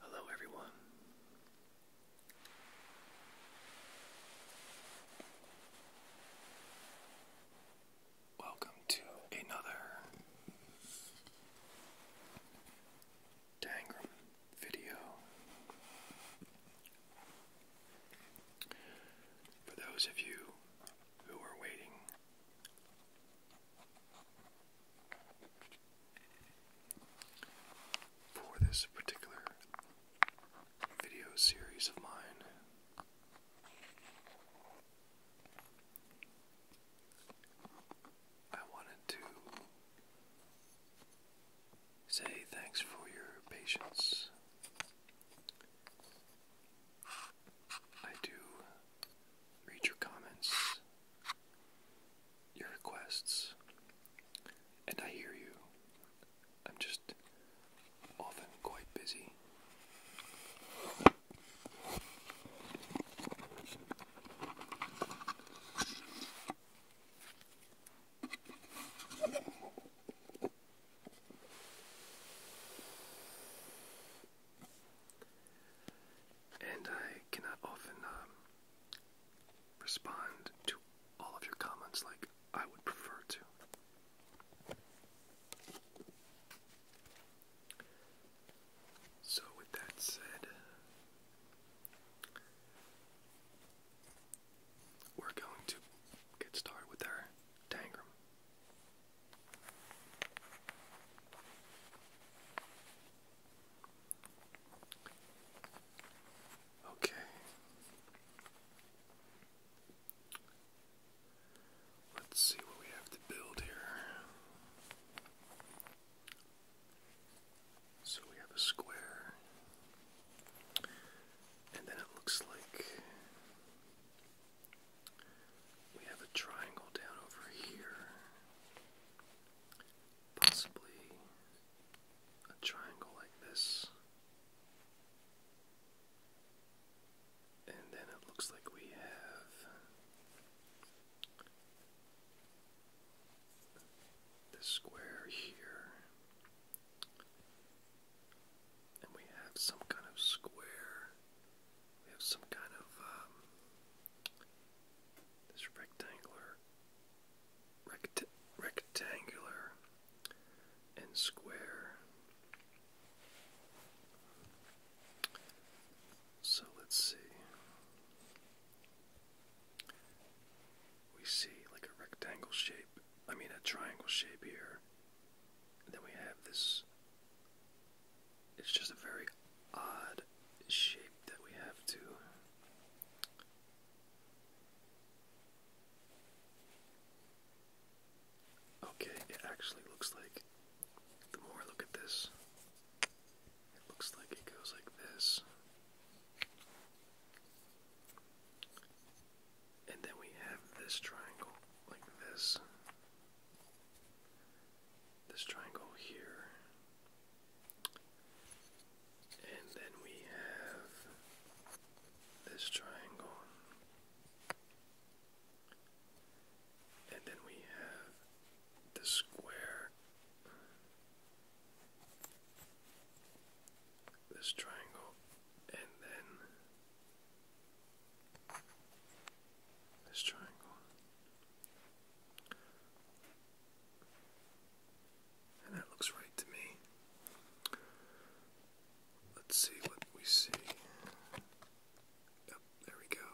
Hello, everyone. Welcome to another Tangram video. For those of you who are waiting for this particular video series of mine. I wanted to say thanks for your patience. I do read your comments your requests, and I hear you. I'm just often quite busy. And I cannot often um, respond to all of your comments like I would prefer to. So, with that said, we're going to get started with our tangram. Okay. Let's see what we have to build here. So we have a square, and then it looks like we have a triangle down over here. Possibly a triangle like this. And then it looks like we have this square here. And we have some kind of square we have some kind of um, rectangular rect rectangular and square. So let's see. We see like a rectangle shape, I mean a triangle shape here. then we have this it's just a very odd shape that we have to Okay, it actually looks like the more I look at this, it looks like it goes like this. And then we have this triangle like this this triangle here. And then we have this triangle. And then we have the square. This triangle. And then this triangle. And that looks right to me. Let's see what we see. there we go.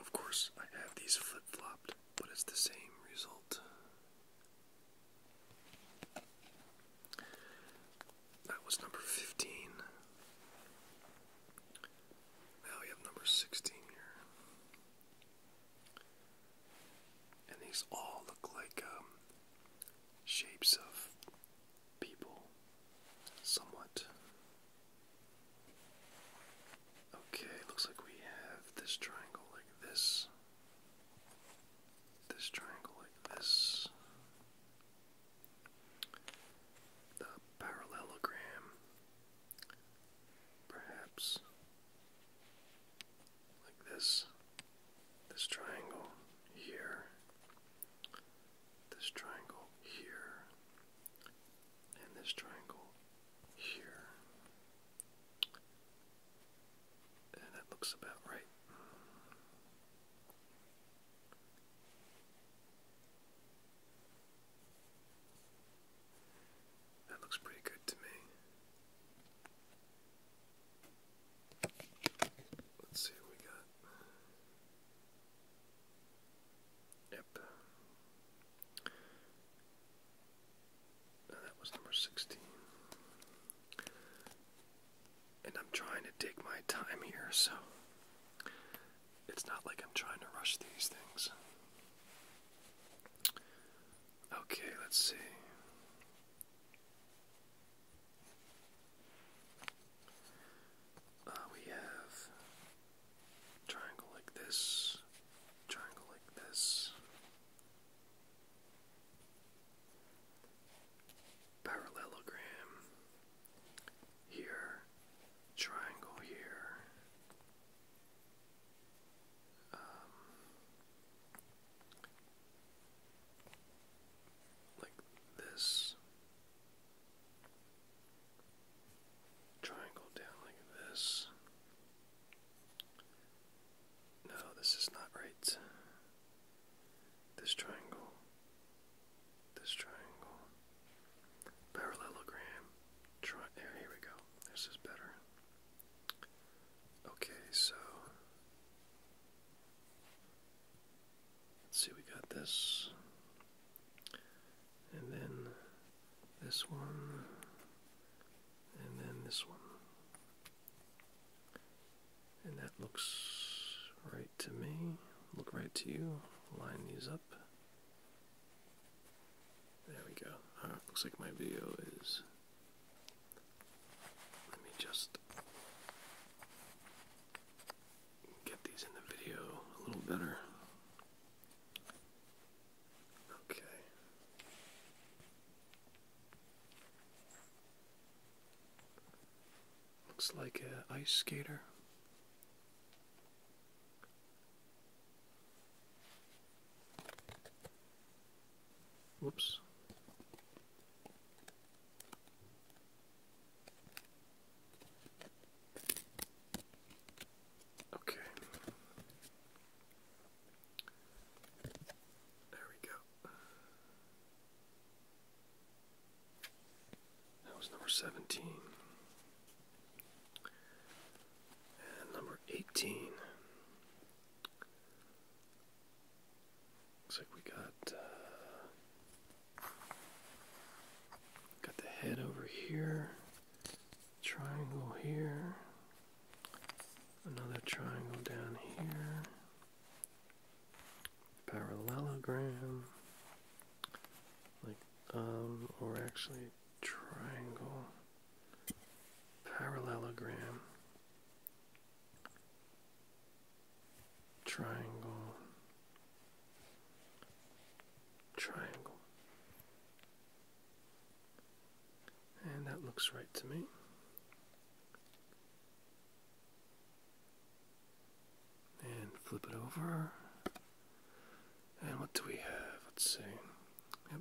Of course, I have these flip flopped, but it's the same result. That was number 15. Now we have number 16 here. And these all look like um, shapes of people, somewhat. Okay, looks like we have this triangle like this, this triangle like this, the parallelogram, perhaps like this, this triangle here, this triangle here, and this triangle here. And that looks about right. That looks pretty good to me. Let's see what we got. Yep. that was number 16 and I'm trying to take my time here, so it's not like I'm trying to rush these things. Okay, let's see. Uh, we have triangle like this, triangle like this parallelogram here, triangle here. Um, like this triangle down like this. No, this is not right this triangle, this triangle, parallelogram, here we go, this is better. Okay, so, let's see, we got this, and then this one, and then this one. And that looks right to me. Look right to you. Line these up. There we go. Uh, looks like my video is. Let me just get these in the video a little better. Okay. Looks like a ice skater. Whoops. Okay. There we go. That was number 17. number 18. Looks like we got uh, got the head over here, triangle here, another triangle down here, parallelogram, like, um, or actually triangle, parallelogram, triangle, triangle. And that looks right to me. And flip it over. And what do we have? Let's see. Yep.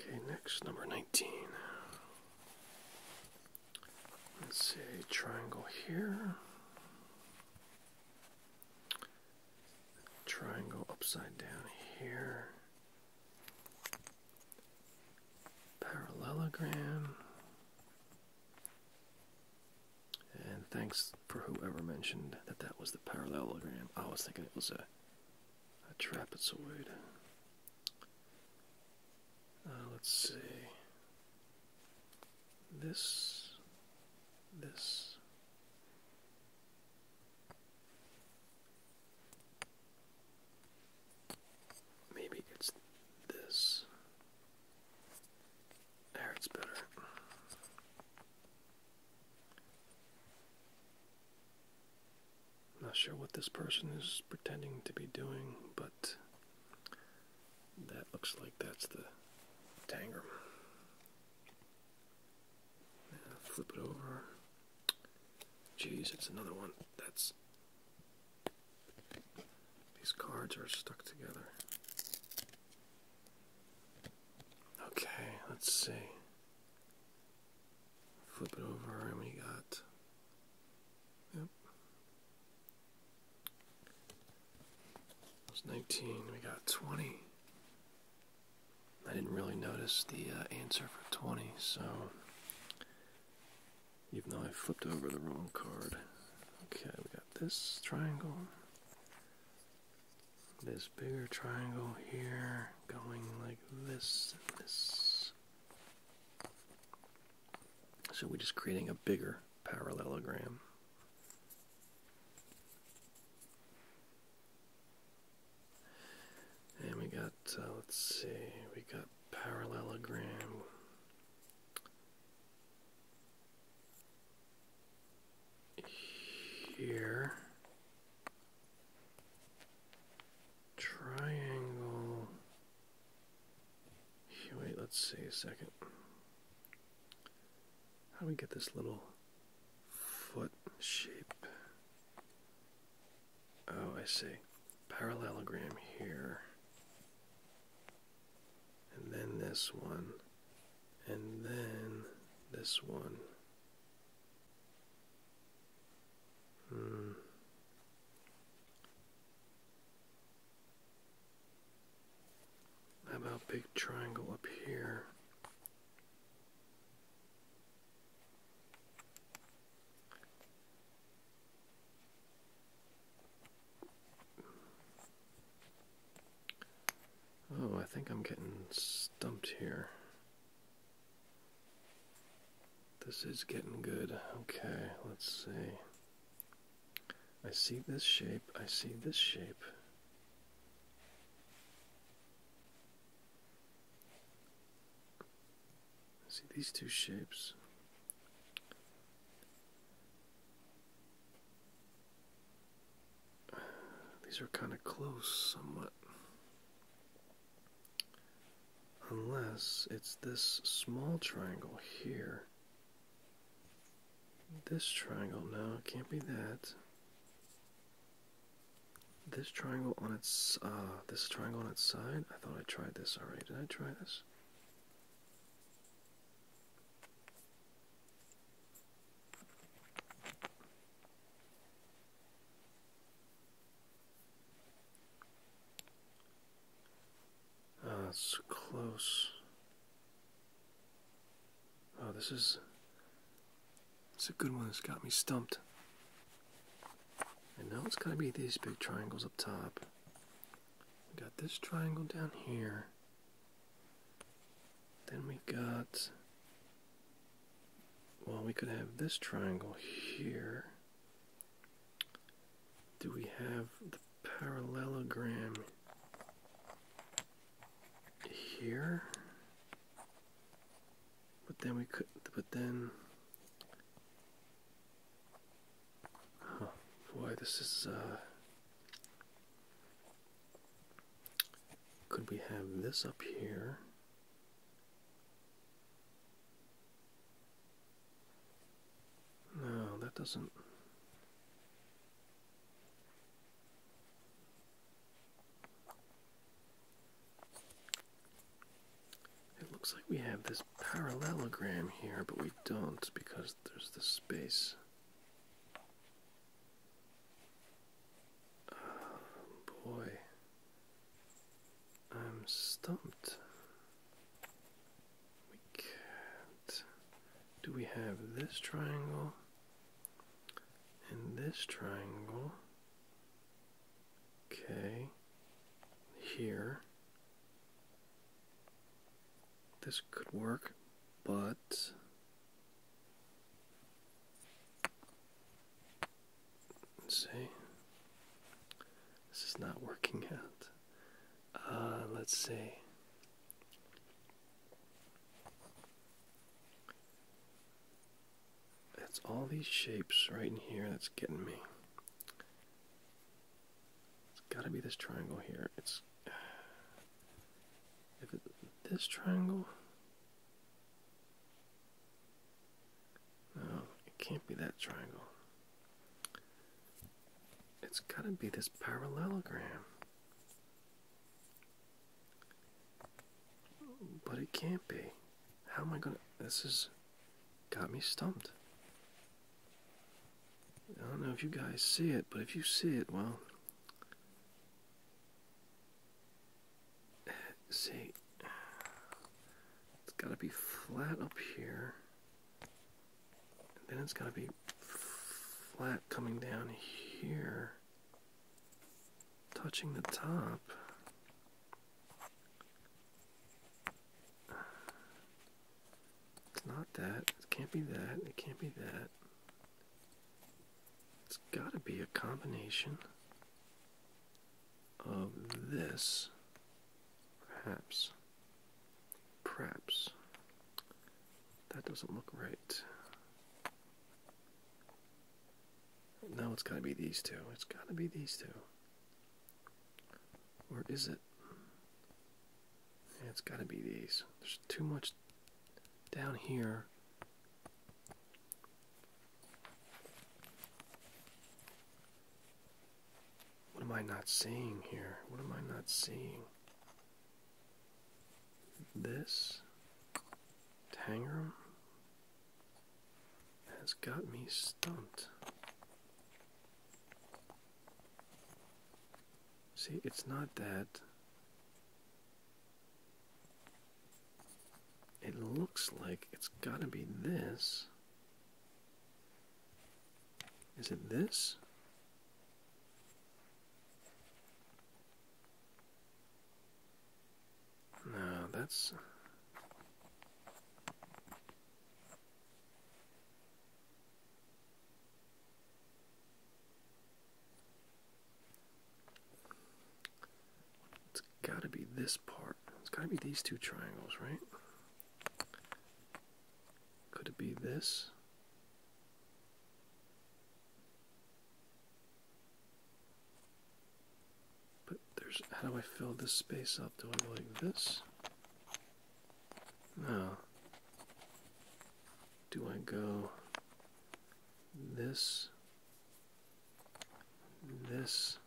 Okay, next, number 19. Let's see, triangle here triangle upside down here. Parallelogram. And thanks for whoever mentioned that that was the parallelogram. I was thinking it was a, trapezoid. Uh, let's see. This, this, Maybe it's this. There, it's better. Not sure what this person is pretending to be doing, but that looks like that's the Tangram. Flip it over. Jeez, it's another one that's. These cards are stuck together. Okay, let's see. Flip it over, and we got. Yep. Was 19, we got 20. I didn't really notice the uh, answer for 20, so even though I flipped over the wrong card. Okay, we got this triangle. This bigger triangle here going like this. So we're just creating a bigger parallelogram. And we got, uh, let's see, we got parallelogram. Here, triangle. Wait, let's see a second. How do we get this little foot shape? Oh, I see. Parallelogram here. And then this one. And then this one. Hmm. How about big triangle up here? Oh, I think I'm getting stumped here. This is getting good. Okay, let's see. I see this shape, I see this shape. see these two shapes. These are kind of close, somewhat. Unless it's this small triangle here this triangle, no, it can't be that. This triangle on its, uh, this triangle on its side. I thought I tried this already. Did I try this? Oh, so close. Oh, this is. It's a good one it has got me stumped. And now it's got to be these big triangles up top. We got this triangle down here. Then we got. Well, we could have this triangle here. Do we have parallelogram here, but then we could, but then, oh boy, this is, uh, could we have this up here? No, that doesn't. It looks like we have this parallelogram here, but we don't because there's the space. Oh boy, I'm stumped we can't. Do we have this triangle and this triangle? Okay, here. This could work, but let's see. This is not working out. Uh, let's see. It's all these shapes right in here that's getting me. It's got to be this triangle here. It's this triangle. No, it can't be that triangle. It's got to be this parallelogram. But it can't be. How am I going to. This has got me stumped. I don't know if you guys see it, but if you see it, well. See, it's got to be flat up here then it's got to be flat coming down here, touching the top. It's not that. It can't be that. It can't be that. It's got to be a combination of this, perhaps. Perhaps. That doesn't look right. No, it's gotta be these two. It's gotta be these two. Or is it? it's gotta be these. There's too much down here. What am I not seeing here? What am I not seeing? This Tangram has got me stumped. See, it's not that. It looks like it's got to be this. Is it this? No, that's. It's gotta be this part. It's gotta be these two triangles, right? Could it be this? But there's how do I fill this space up? Do I like this? No. Do I go this? This?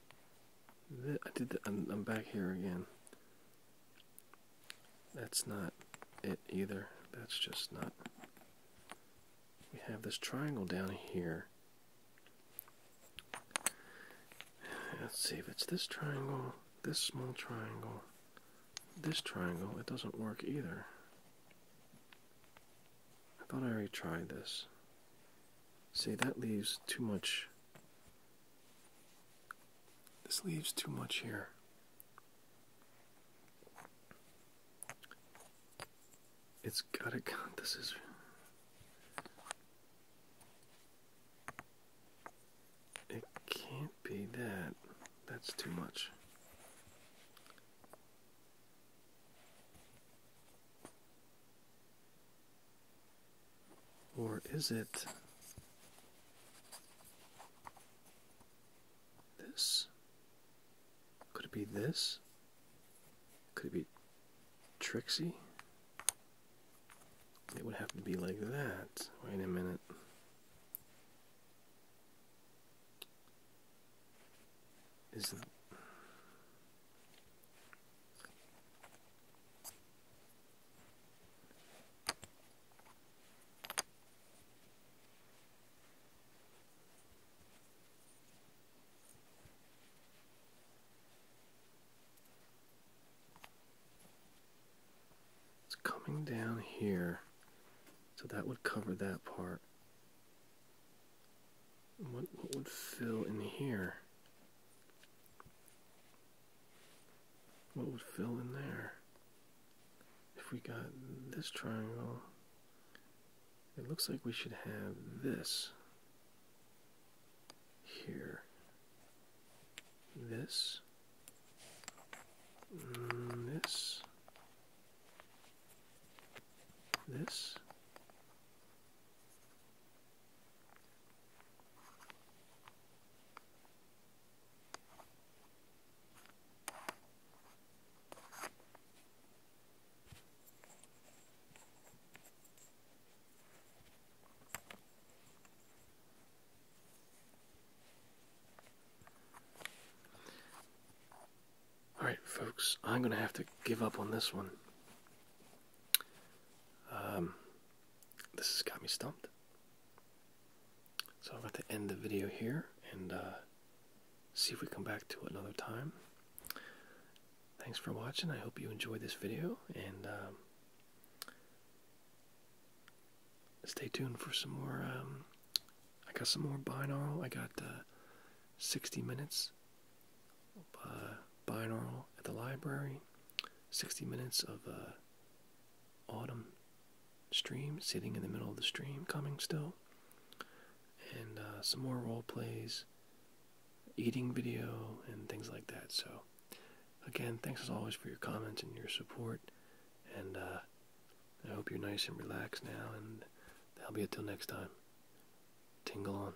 I did. I'm back here again. That's not it either. That's just not. We have this triangle down here. Let's see if it's this triangle, this small triangle, this triangle. It doesn't work either. I thought I already tried this. See, that leaves too much this leaves too much here. It's gotta count This is. It can't be that. That's too much. Or is it this? Could it be this? Could it be Trixie? It would have to be like that. Wait a minute. Is it's coming down here, so that would cover that part. What, what would fill in here? what would fill in there? If we got this triangle, it looks like we should have this here. This. Mm, this. This. Alright, folks, I'm going to have to give up on this one. Um, this has got me stumped. So I'm going to end the video here and uh, see if we come back to it another time. Thanks for watching. I hope you enjoyed this video and um, stay tuned for some more. Um, I got some more binaural. I got uh, 60 minutes binaural at the library, 60 minutes of uh, autumn stream, sitting in the middle of the stream, coming still, and uh, some more role plays, eating video, and things like that. So, again, thanks as always for your comments and your support, and uh, I hope you're nice and relaxed now, and that'll be it till next time. Tingle on.